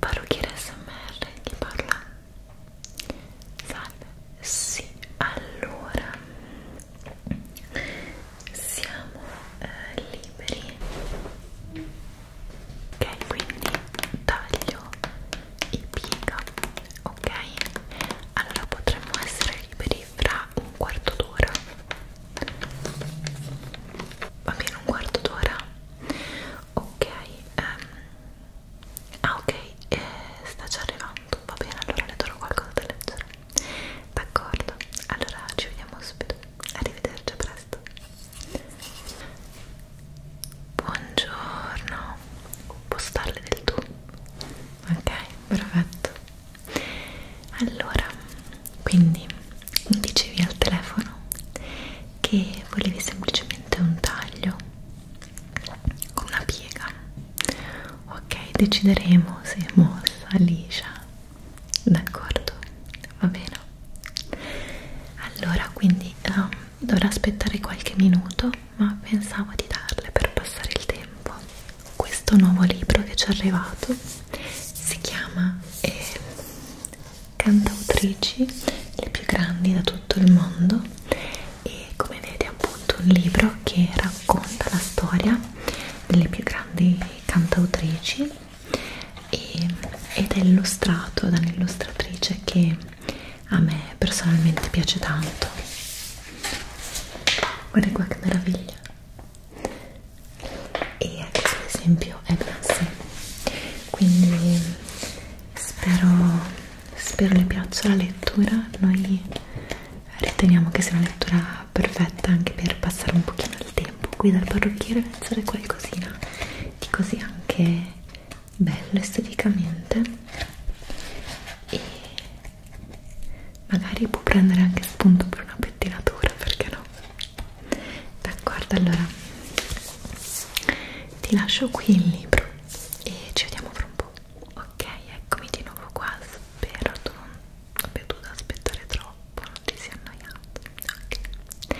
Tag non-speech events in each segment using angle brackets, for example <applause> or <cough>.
Parrucchiere SMR chi parla? Salve, sì, allora siamo eh, liberi ok, quindi taglio i piega ok? allora potremmo essere liberi fra un quarto d'ora va bene un quarto d'ora ok ehm, ah ok eh, sta già arrivando va bene allora le darò qualcosa da leggere d'accordo allora ci vediamo subito arrivederci a presto buongiorno può starle del tu ok perfetto allora quindi mi dicevi al telefono che volevi semplicemente un taglio con una piega ok decideremo se è mossa liscia d'accordo va bene allora quindi um, dovrò aspettare qualche minuto ma pensavo di darle per passare il tempo questo nuovo libro che ci è arrivato si chiama eh, cantautrici, le più grandi da tutto il mondo e come vedete appunto un libro che racconta la storia delle più grandi cantautrici e, ed è illustrato da un'illustratrice che a me personalmente piace tanto guarda qua che meraviglia e questo ad esempio è bellissimo quindi spero, spero le piaccia la lettura noi riteniamo che sia una lettura perfetta anche per passare un pochino il tempo qui dal parrucchiere pensare qualcosina di così anche bello esteticamente e magari può prendere anche spunto per una pettinatura perché no d'accordo allora ti lascio qui il libro e ci vediamo fra un po' ok eccomi di nuovo qua spero tu non abbia dovuto aspettare troppo non ti sei annoiato okay.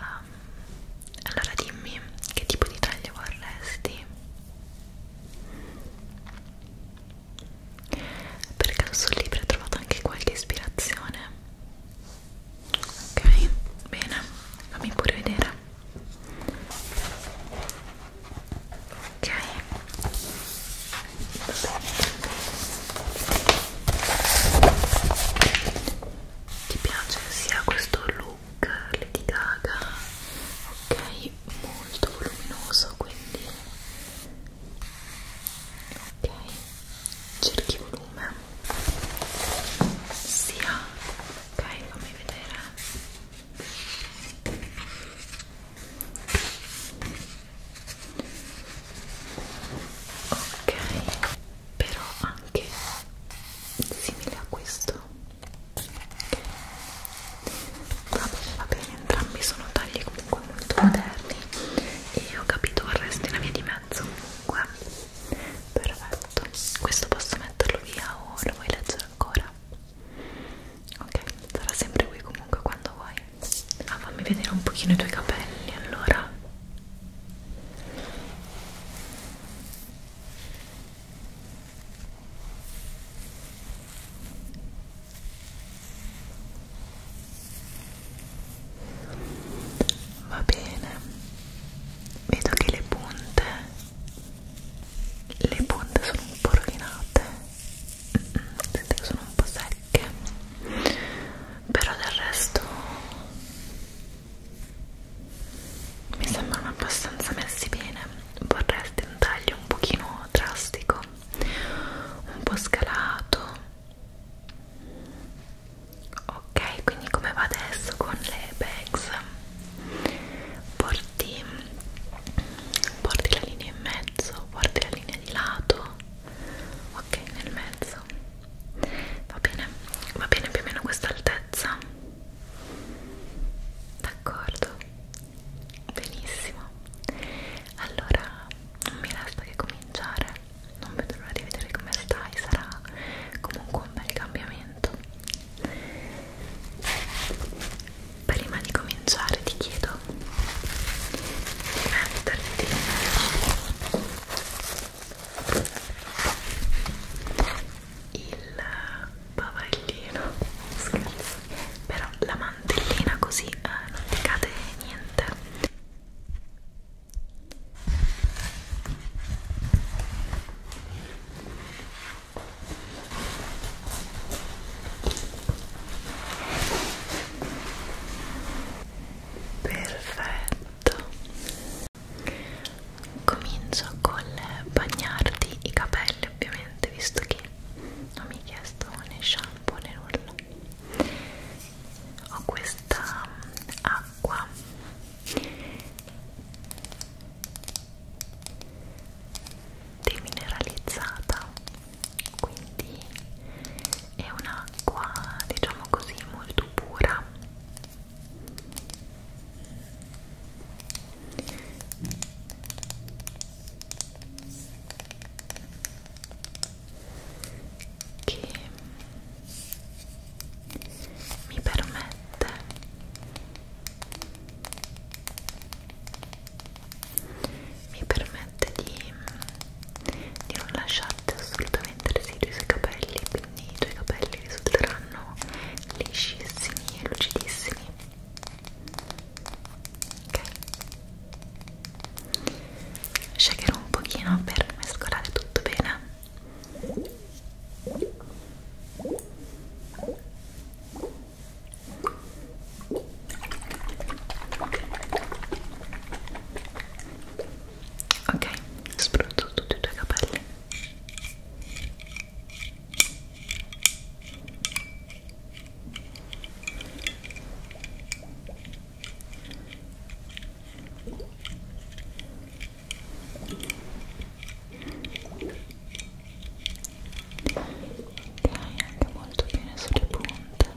um, allora dimmi che tipo di taglio vorresti per caso sul libro hai trovato anche qualche ispirazione? ok bene fammi pure vedere ok ti piace sia questo look Lady Gaga ok molto voluminoso quindi ok cerchi volume sia ok fammi vedere ok però anche simile a questo va bene va bene entrambi sono tagli comunque molto moderni e ho capito vorresti la via di mezzo comunque perfetto questo posso metterlo via o lo vuoi leggere ancora? ok sarà sempre qui comunque quando vuoi ah, fammi vedere un pochino i tuoi capelli allora va bene vedo che le punte le punte sono un po' rovinate sento che sono un po' secche però del resto mi sembrano abbastanza messi bene vorresti un taglio un pochino drastico un po' scalato ok quindi come va adesso con le bags porti porti la linea in mezzo porti la linea di lato ok nel mezzo va bene va bene più o meno questa altezza d'accordo benissimo allora non mi resta che cominciare non vedo l'ora di vedere come stai, sarà comunque un bel cambiamento. Prima di cominciare ti chiedo di metterti il bavaglino, scherzo, però la mantellina così eh, non ti cade niente Perfetto. Comincio col bagnarti i capelli, ovviamente, visto che non mi hai chiesto né shampoo né nulla. Ho questa app acqua demineralizzata quindi è un'acqua diciamo così molto pura che mi permette mi permette di, di non lasciarti assolutamente residui sui capelli quindi i tuoi capelli risulteranno liscissimi e lucidissimi ok shakerò un pochino per mescolare tutto bene Ok, spruzzo tutti i tuoi capelli anche molto bene sulle punte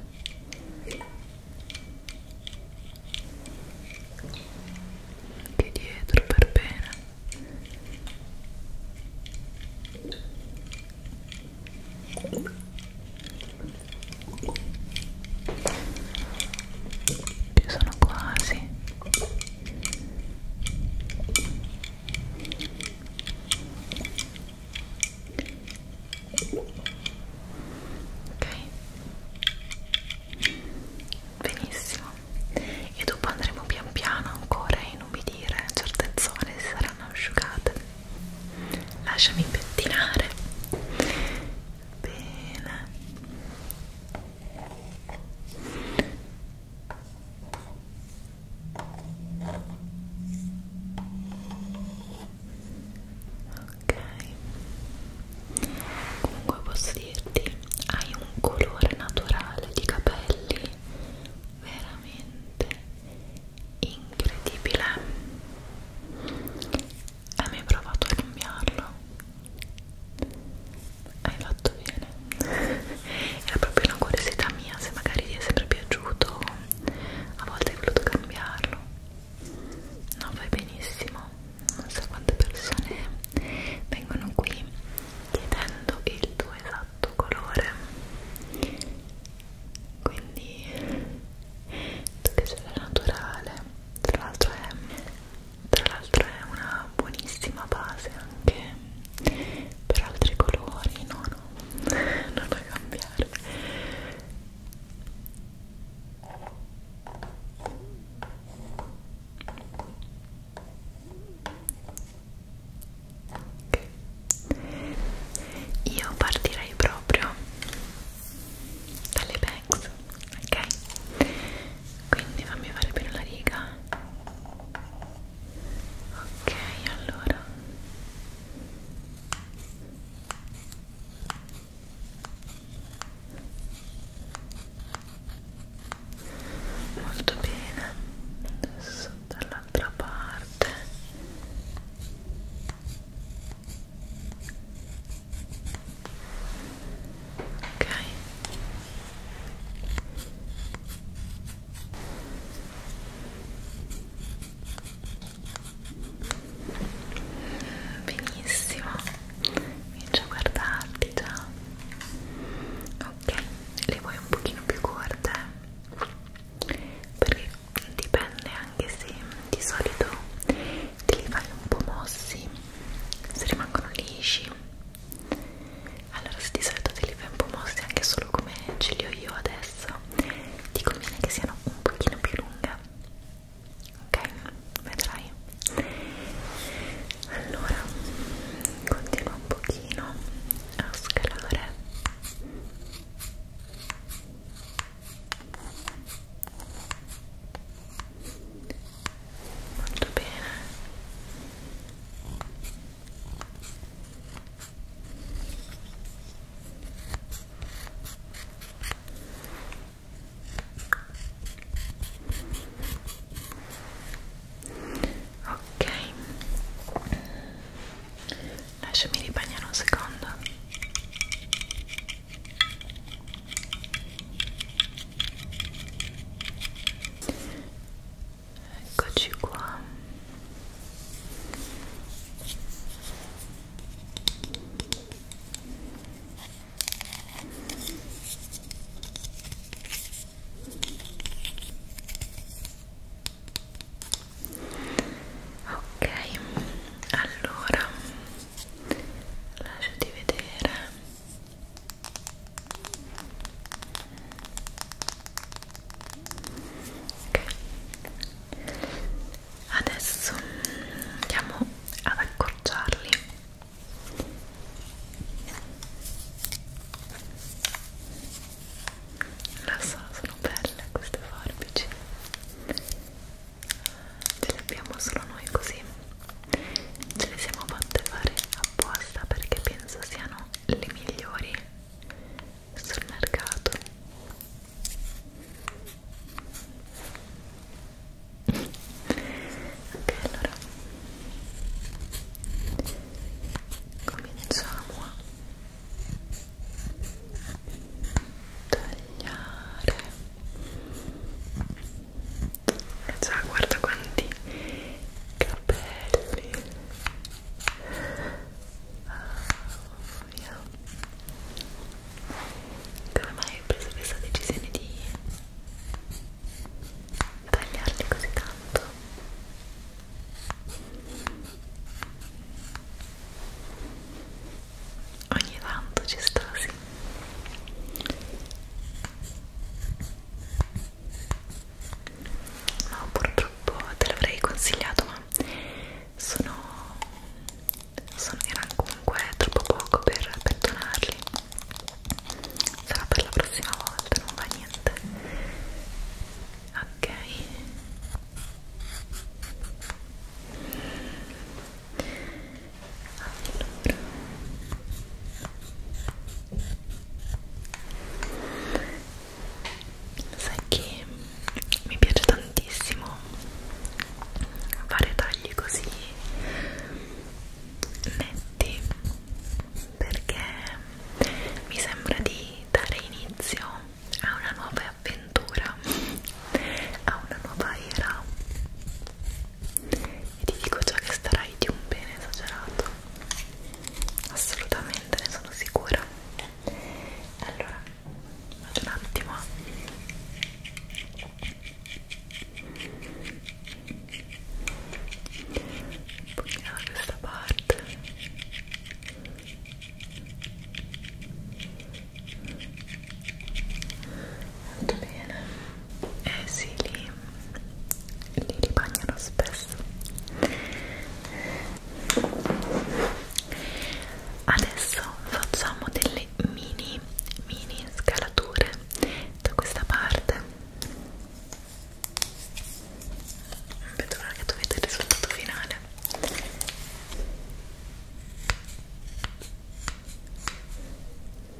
anche dietro per bene Ecco ci sono quasi ok benissimo e dopo andremo pian piano ancora a inumidire certe zone si saranno asciugate lasciami pettinare Bene. Ok. Comunque posso dirti, hai un colore naturale di capelli veramente incredibile hai mai provato a cambiarlo? hai fatto bene <laughs> era proprio una curiosità mia se magari ti è sempre piaciuto a volte hai voluto cambiarlo no fai benissimo non so quante persone vengono qui chiedendo il tuo esatto colore quindi che sarà naturale tra l'altro è, è una buonissima base anche per altri colori no no <laughs> non da cambiare Okay. Io partirei proprio dalle banks ok quindi fammi fare bene la riga ok allora molto bene adesso dall'altra parte ok benissimo comincio a guardarti già ok le vuoi un pochino più corte perché dipende anche se di solito te li fai un po' mossi se rimangono lisci allora se di solito te li fai un po' mossi anche solo come ce li ho io adesso ti conviene che siano un pochino più lunghe ok? vedrai allora continua un pochino a scalare molto bene ok lasciami ribagnare un secondo Eccoci qua. Ok, allora lasciati vedere okay. adesso andiamo ad accorciarli lo so, sono belle queste forbici ce le abbiamo solo noi così ce le siamo fatte fare apposta perché penso siano le migliori sul mercato ok allora cominciamo a tagliare Già, cioè, guarda quanti capelli. Oh, mia. Come mai hai preso questa decisione di tagliarli così tanto? ogni tanto ci sta sì no purtroppo te l'avrei consigliato ma sono, sono erano comunque troppo poco per pettonarli sarà per la prossima volta non va niente ok allora sai che mi piace tantissimo fare tagli così netti perché mi sembra di dare inizio a una nuova avventura a una nuova era e ti dico già che starai di un bene esagerato assolutamente ne sono sicura allora vado un attimo da questa parte molto bene eh sì li, li ribagnano spesso adesso facciamo delle mini mini scalature da questa parte non vedo l'ora che dovete il risultato finale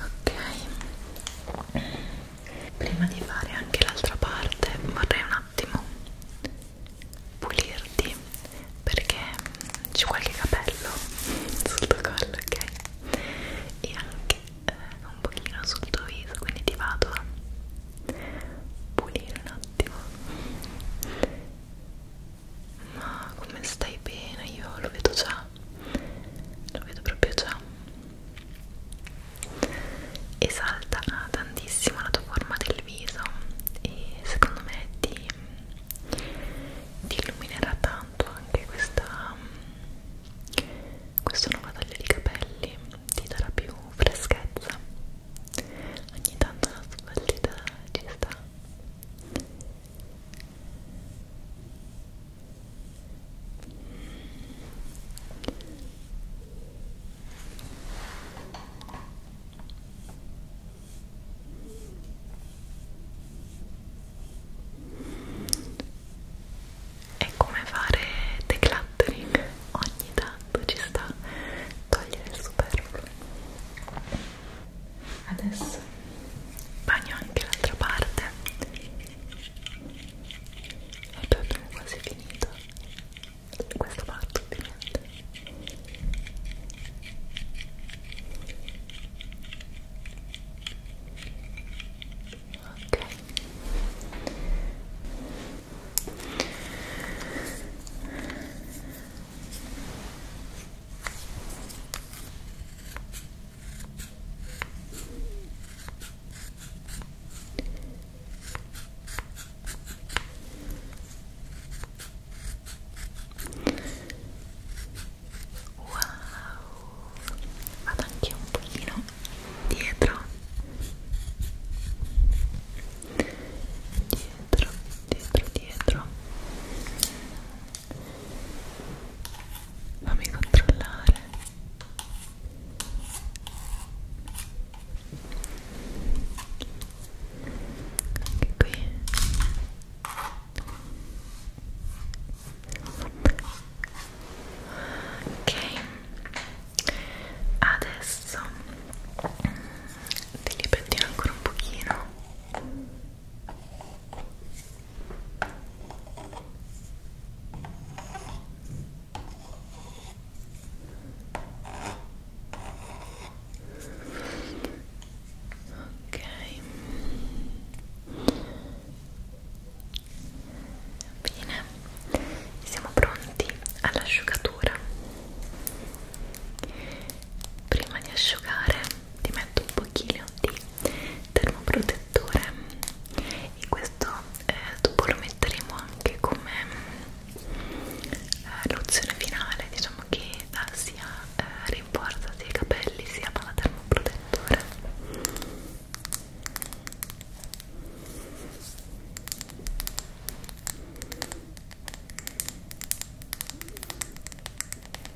ok prima di fare anche l'altra parte vorrei un attimo pulirti perché c'è qualche capello sul tuo collo ok e anche eh, un pochino sul tuo viso quindi ti vado a pulire un attimo ma come stai bene? Io lo vedo già, lo vedo proprio già. Esalta tantissimo la tua forma del viso e secondo me ti, ti illuminerà tanto anche questa, questo nuovo taglio di capelli, ti darà più freschezza. Ogni tanto la sballita ci sta è come fare decluttering ogni tanto ci sta togliere il superfluo adesso bagno anche l'altra parte e poi abbiamo quasi finito questa parte ovviamente ok ok Wow, vado anche un pochino dietro, dietro, dietro, dietro fammi controllare anche qui ok adesso ti li pettino ancora un pochino Ok, bene, siamo pronti all'asciugatura. Prima di asciugare ti metto un pochino di termoprotettore e questo eh, dopo lo metteremo anche come eh, lozione finale diciamo che eh, sia eh, rinforza sia i capelli sia la termoprotettore ok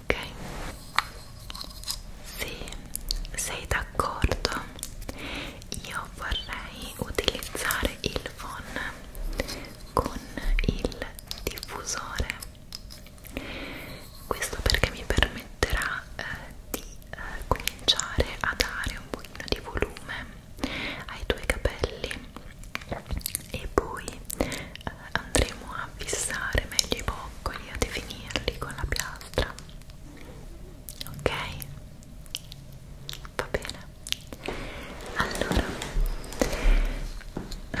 Ok, se sei d'accordo, io vorrei utilizzare il phon con il diffusore questo perché mi permetterà eh, di eh, cominciare a dare un pochino di volume ai tuoi capelli e poi eh, andremo a fissare meglio i boccoli a definirli con la piastra ok? va bene? allora eh,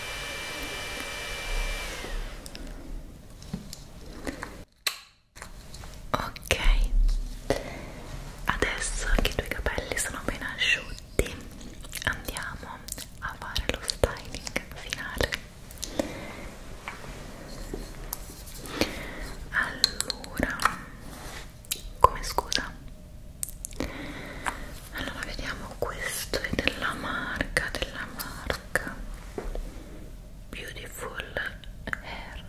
Ok, adesso che i tuoi capelli sono ben asciutti, andiamo a fare lo styling finale. Allora, come scusa? allora vediamo questo è della marca della marca beautiful hair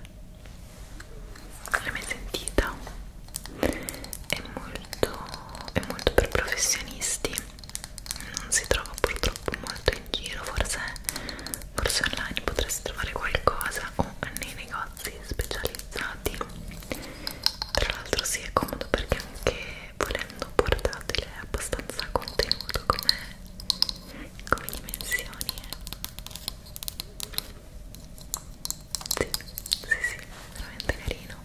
l'hai mai sentita? è molto è molto per professionisti non si trova purtroppo molto in giro forse, forse online potresti trovare qualcosa o nei negozi specializzati tra l'altro si sì, è comodo perché anche volendo portatile è abbastanza contenuto come, come dimensioni eh. sì, sì, sì, veramente carino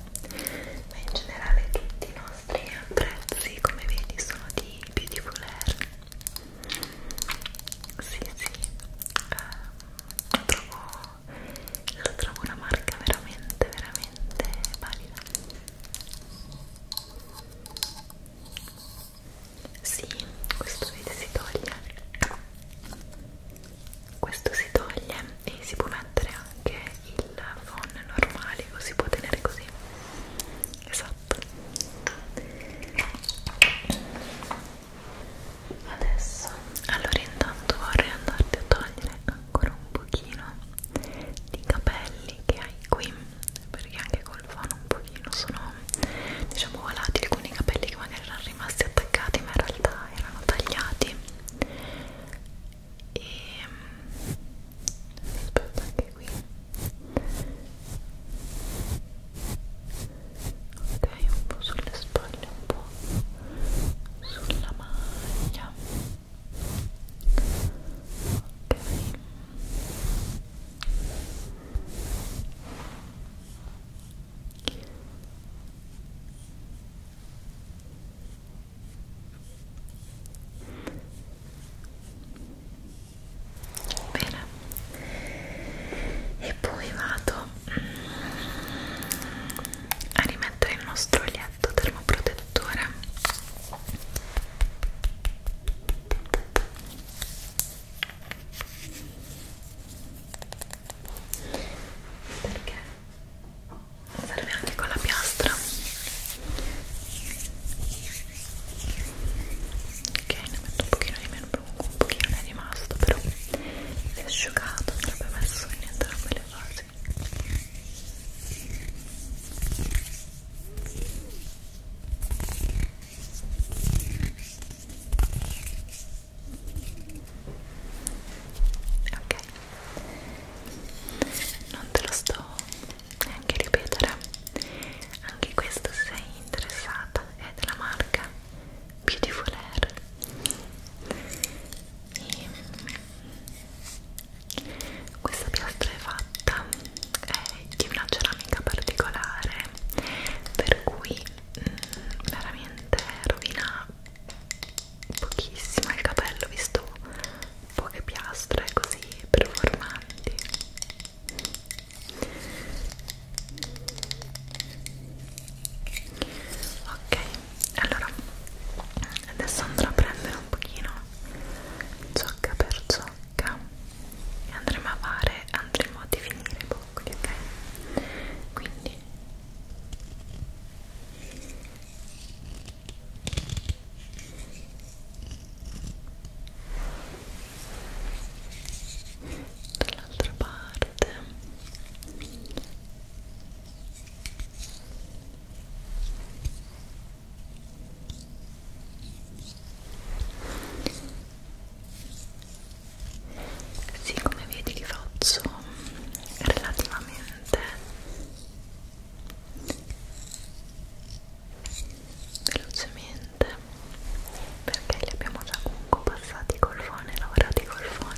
ma in generale tutti i nostri prezzi come vedi sono di Beautiful Air sì, sì, eh, trovo lo trovo una marca veramente veramente valida sì, questo vede si toglie questo si toglie e si può mettere anche il phon normale lo si può tenere così esatto adesso allora intanto vorrei andarti a togliere ancora un pochino di capelli che hai qui perché anche col fono un pochino sono diciamo volati alcuni capelli che magari erano rimasti attaccati ma in realtà erano tagliati e aspetta anche qui ok un po' sulle spalle un po' sulla maglia Bene, e poi vado a rimettere il nostro olietto termoprotettore perché serve anche con la piastra ok ne metto un pochino di meno un pochino ne è rimasto però si è asciugato non avrebbe messo niente roba le facce cose ok non te lo sto neanche a ripetere anche questo se sei interessata è della marca Beautiful Air e questa piastra è fatta è eh, di una ceramica particolare per cui mh, mm, veramente rovina pochissimo il capello visto poche piastre così performanti ok allora adesso andrò a prendere un pochino ciocca per ciocca e andremo a fare andremo a definire i boccoli ok quindi dall'altra parte sì, come vedi li faccio relativamente velocemente perché li abbiamo già comunque passati col phon e lavorati col phon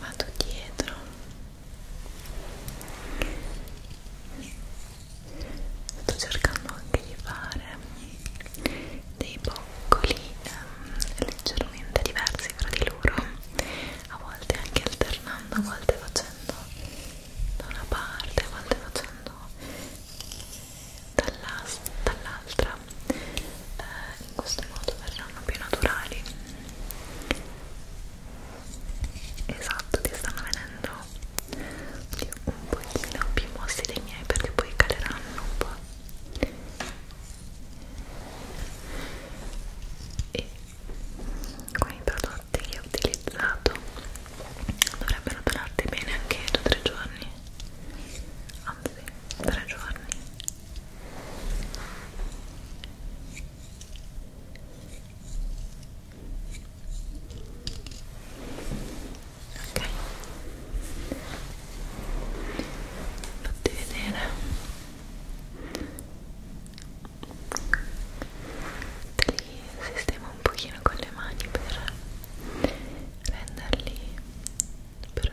vado dietro sto cercando anche di fare dei boccoli ehm, leggermente diversi fra di loro a volte anche alternando a volte facendo da una parte a volte facendo dall'altra dall eh, in questo modo verranno più naturali esatto ti stanno venendo un pochino più mossi dei miei perché poi caleranno un po' e con i prodotti che ho utilizzato dovrebbero durarti bene anche 2-3 giorni anzi 3 giorni ok fatti vedere te li sistemo un pochino con le mani per renderli per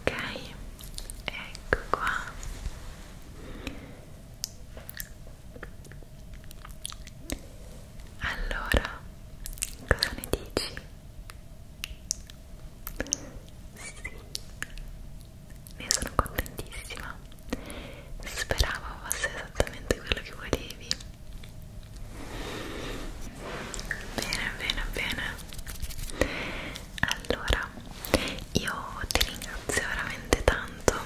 ok ecco qua allora cosa ne dici? sì ne sono contentissima speravo fosse esattamente quello che volevi Bene, bene, bene. Allora, io ti ringrazio veramente tanto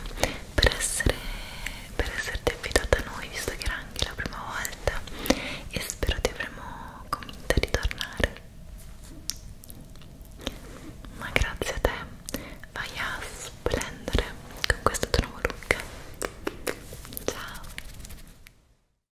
per essere per esserti affidata a noi, visto che era anche la prima volta e spero ti avremo convinta di tornare. Ma grazie a te, vai a splendere con questo tuo nuovo look. Ciao!